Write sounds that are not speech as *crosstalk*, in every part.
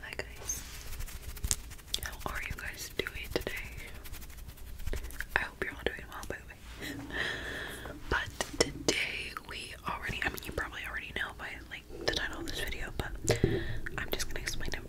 Hi guys. How are you guys doing today? I hope you're all doing well by the way. but today we already I mean you probably already know by like the title of this video, but I'm just gonna explain it.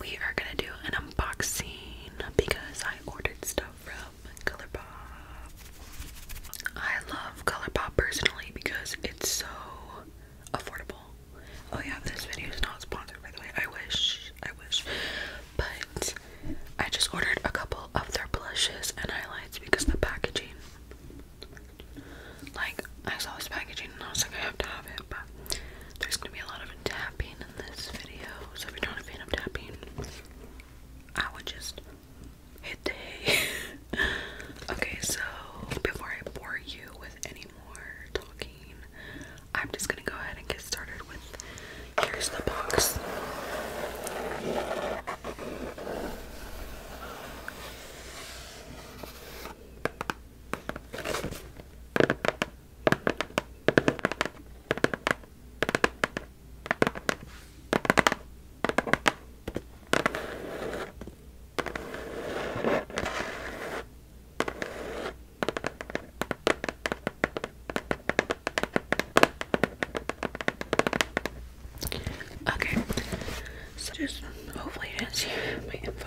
We are gonna do an unboxing because I ordered stuff from ColourPop. I love ColourPop personally because it's so affordable. Oh yeah, this video is not sponsored by the way. I wish, I wish. But I just ordered a couple of their blushes and highlights because the packaging like I saw this packaging and I was like I have to have it, but there's gonna be a lot of tapping in this video. So if you're not a fan of tapping, I would just hit the hay. *laughs* okay, so before I bore you with any more talking, I'm just gonna go ahead and get started with here's the box. Okay, so just hopefully you didn't see my info.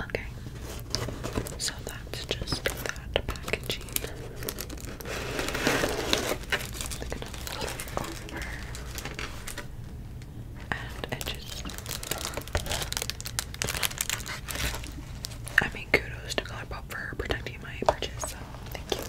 Okay, so that's just that packaging. I'm gonna over and edges. I mean, kudos to Colourpop for protecting my purchase. So thank you.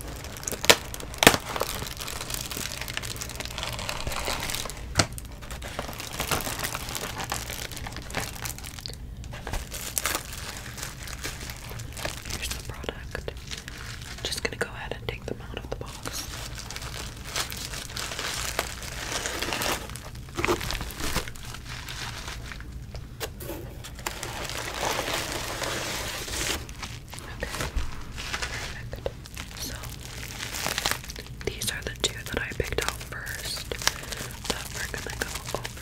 Here's the product. just gonna go ahead and take them out of the box perfect. So these are the two that I picked out first that we're gonna go over.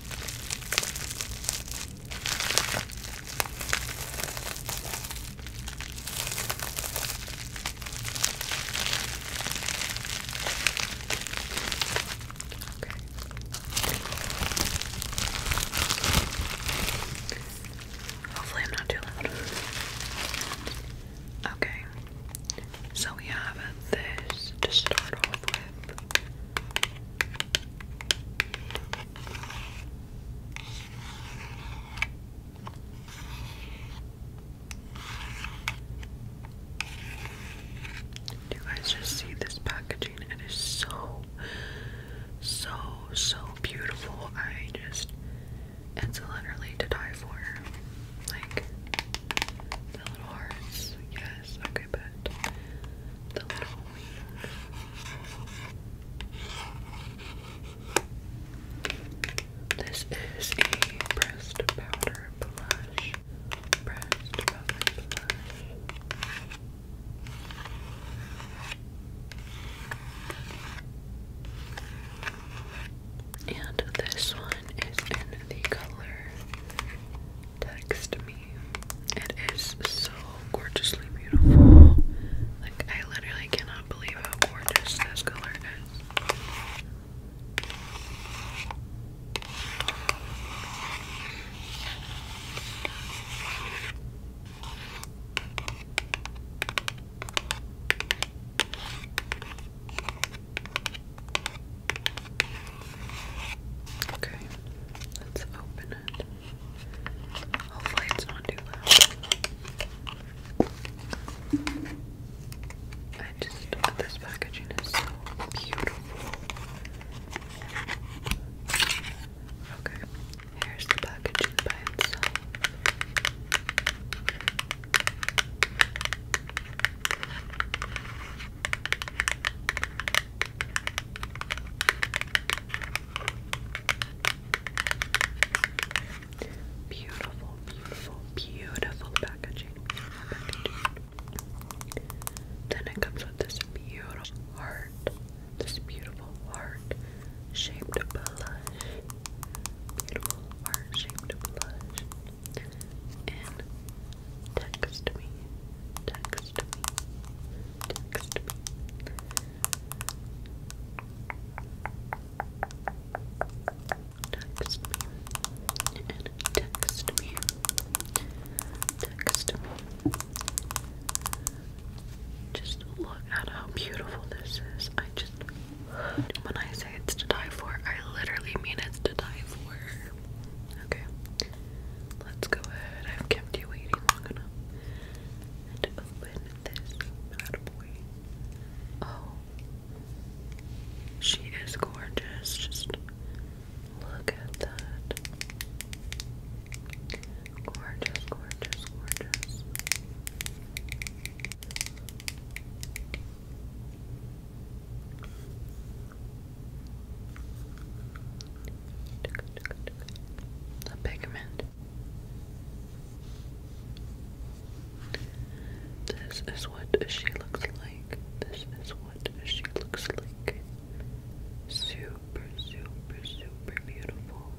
Hopefully, I'm not too loud. Okay, so we have this to start off with. Do you guys just see this packaging? It is so, so, so beautiful. I just, it's literally to die for. Like, the little hearts. Yes, okay. This is a pressed powder blush. Pressed powder blush. And this one is in the color text me. It is so gorgeously beautiful. Like, I literally cannot believe how gorgeous this color Okay, let's open it. Hopefully, it's not too loud. I just, this packaging is so beautiful. Okay, here's the packaging by itself. Beautiful, beautiful, beautiful packaging. Then it comes with this beautiful heart, this beautiful heart shaped blush. Beautiful heart shaped blush and text me, text me, text me. Text me and text me. Text me. Just look at how beautiful this is. I just when I say it's to die for, I literally mean it's to die for. Okay, let's go ahead. I've kept you waiting long enough. And open this bad boy. Oh, she is gorgeous. Just look at that. Gorgeous, gorgeous, gorgeous. The pigment. This is what she looks like. This is what she looks like. Super, super, super beautiful.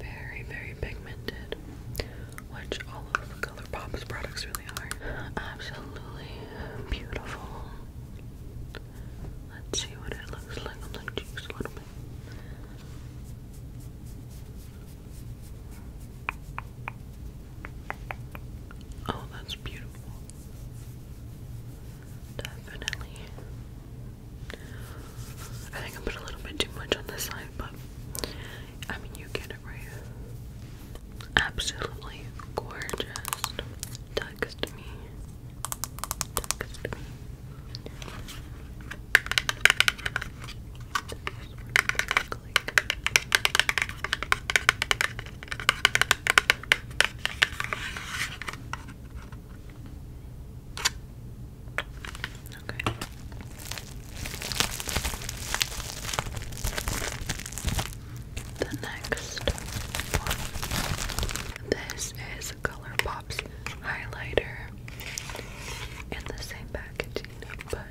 Very, very pigmented which all of the ColourPop's products really are. Absolutely beautiful. Let's see what it looks like on the cheeks a little bit. Oh, that's beautiful. Definitely. I think I put a little bit too much on this side, but I mean, you get it right. Absolutely gorgeous. Text me. Okay. The next This is ColourPop's highlighter in the same packaging, but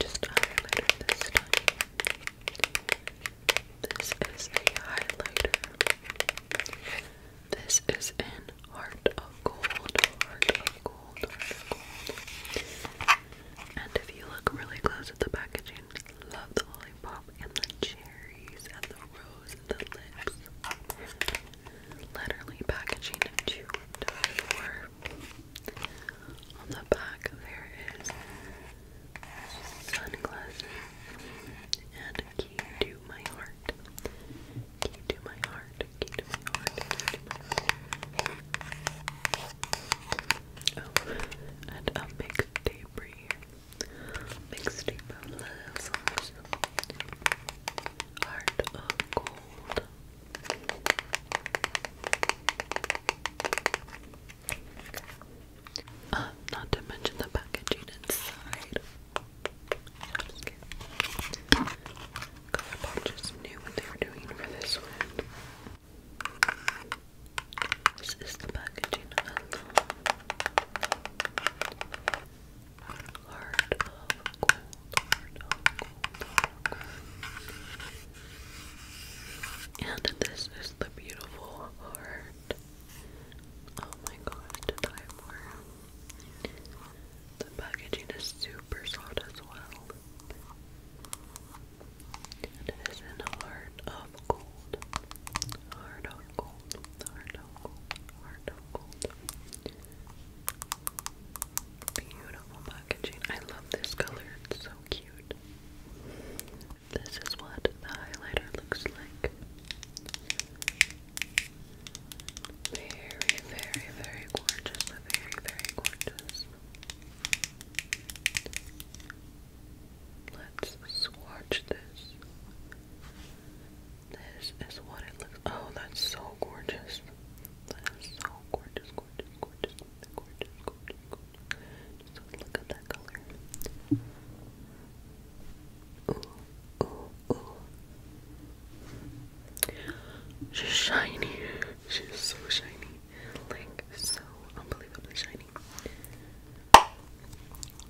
just a highlighter this time. This is a highlighter. This is an Heart of Gold. And if you look really close at the packaging, love the lollipop and the cherries and the rose and the lips. Literally packaging to On the back there is sunglasses and key to my heart. Key to my heart key to my and a mixtape right here. Mixtape of love songs. Heart of gold. Uh, not to mention the packaging inside. I just knew what they were doing for this one. This is the packaging of Heart of Gold, And this is the beautiful heart. Oh my gosh, did I the packaging is super soft as well. And it is in the of gold. Heart of gold. Heart of gold. Heart of gold. Beautiful packaging. I love this color. It's so cute. This is what the highlighter looks like. Very, very, very gorgeous. Very, very gorgeous. Let's swatch this. This is what it looks Oh, that's so gorgeous. That is so gorgeous, gorgeous, gorgeous, gorgeous, gorgeous, gorgeous. Just look at that color. She's shiny. She's so shiny. Like, so unbelievably shiny.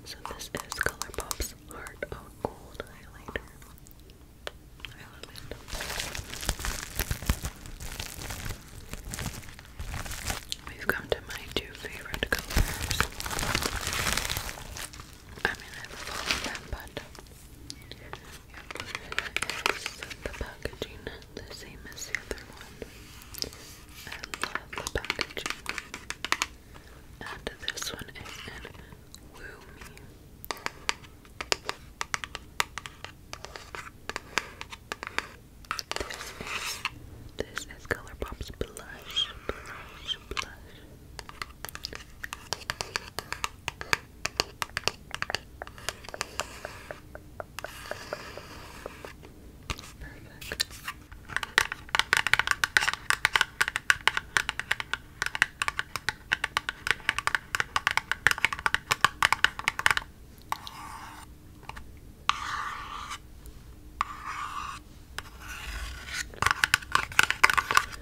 So, this is Colourpop's Heart of Gold Highlighter. Highlight. We've come to my two favorite colors. I mean, I love them, but the packaging the same as the other one. I the packaging. And this one is in Woo This is this is ColourPop's blush. Perfect.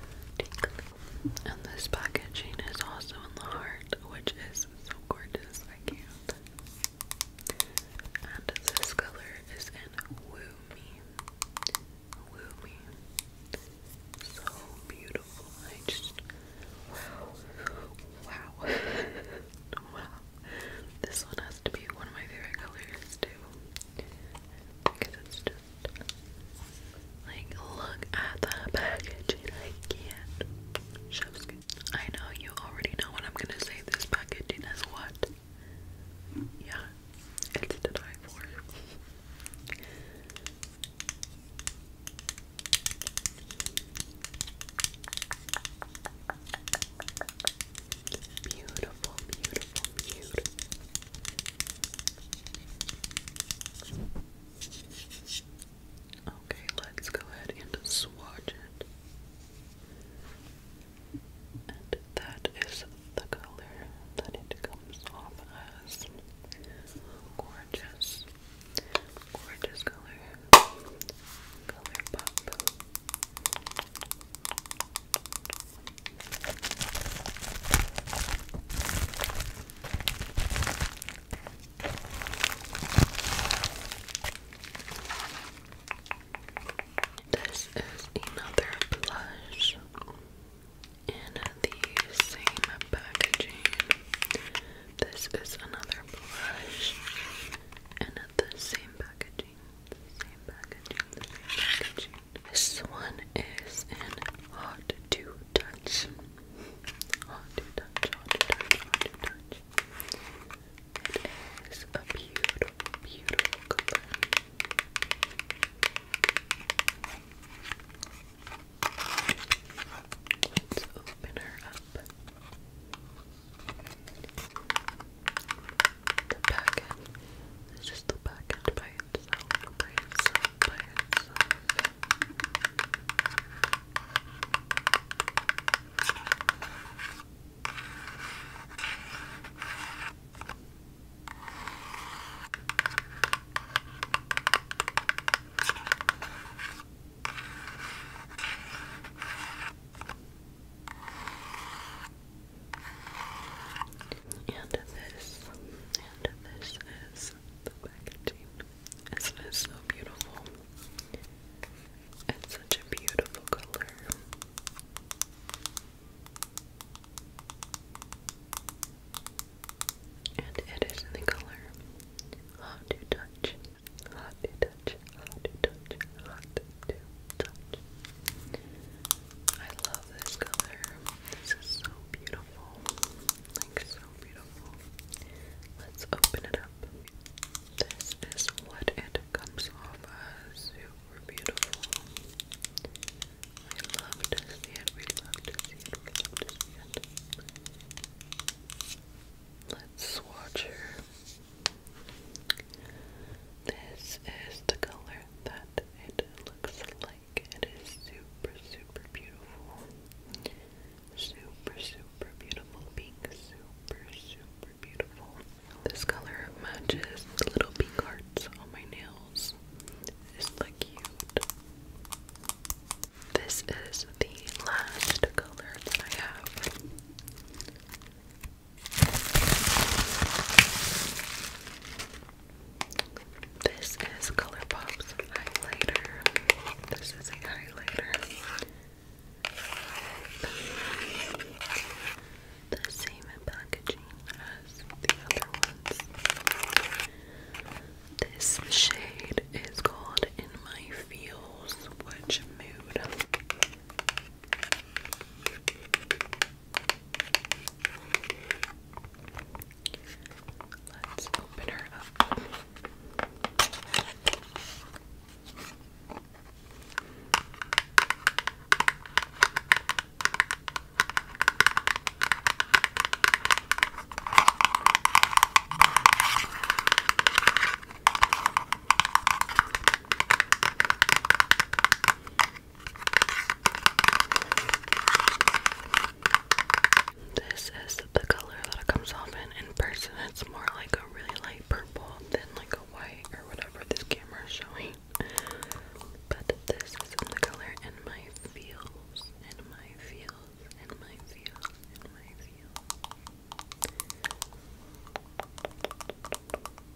Tinkly, and this packaging is also in the heart, which is so gorgeous. I can't. And this color is in Woo Me. Woo Me. So beautiful. I just. Wow. Wow. *laughs* wow. This one has to be one of my favorite colors, too. Because it's just like, look at the packaging. I can't. I know you already know what I'm gonna say. This packaging is what? Yeah, it's to die for. Beautiful, beautiful, beautiful. Okay, let's go ahead and swatch it. And that is the color that it comes off as. Gorgeous. Gorgeous color. Color pop. This is another blush in the same packaging. This is another blush in the same packaging. Same packaging, the same packaging. This one is in hot to touch. Hot to touch, hot to touch, hot to touch. It is a beautiful, beautiful Let's open her up. The packet. This is the packet by yourself, by yourself, by yourself. And this, and this is the packaging. Isn't it so beautiful? It's such a beautiful color. And it is in the color hot to touch, hot to touch, hot to touch, hot to touch. I love this color. This is so beautiful. Like, so beautiful. Let's open it up. This is what it comes off as. Super beautiful. I love it. We love it. We love it. Let's swatch her. This is the color that it looks like it is super super beautiful super super beautiful pink super super beautiful this color matches the little pink hearts on my nails isn't that this is the last color that I have this is Colourpop's highlighter. This is a highlighter. The same packaging as the other ones. This shade is called In My Feels, which mood? Let's open her up. This is the color that it comes off in. In person, it's more like a really light purple than like a white or whatever this camera is showing. But this is the color in my feels, in my feels, in my feels, in my feels.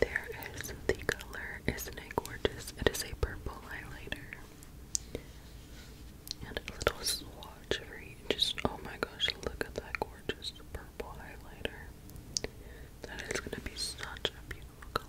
There is the color. Isn't it gorgeous? It is a purple highlighter. And a little swatch for you. Just, oh my gosh, look at that gorgeous purple highlighter. That is going to be such a beautiful color.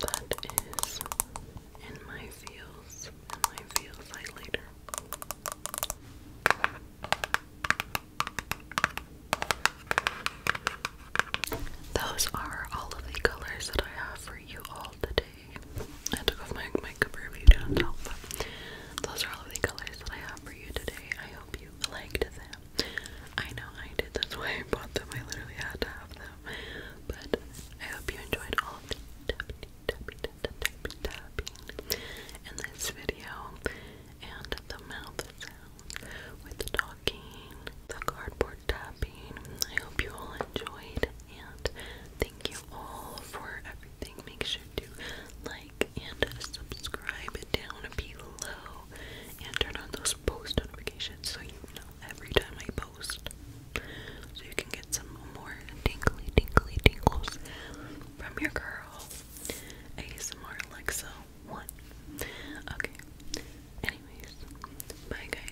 That is in my feels, in my feels highlighter. Those are all of the colors that I have for you all today. I took off my makeup review down top. Those are all of the colors that I have for you today. I hope you liked them. I know I did. That's why I bought them. I literally had to have them. But I hope you enjoyed all of the tapping, tapping, tapping, tapping in this video. And the mouth sound with talking, the cardboard tapping. I hope you all enjoyed and thank you all for everything. Make sure to like and subscribe down below and turn on those post notifications so you know every time I post so you can get some more tingly tingly tingles from your girl ASMR Alexa 1. Okay. Anyways, bye guys.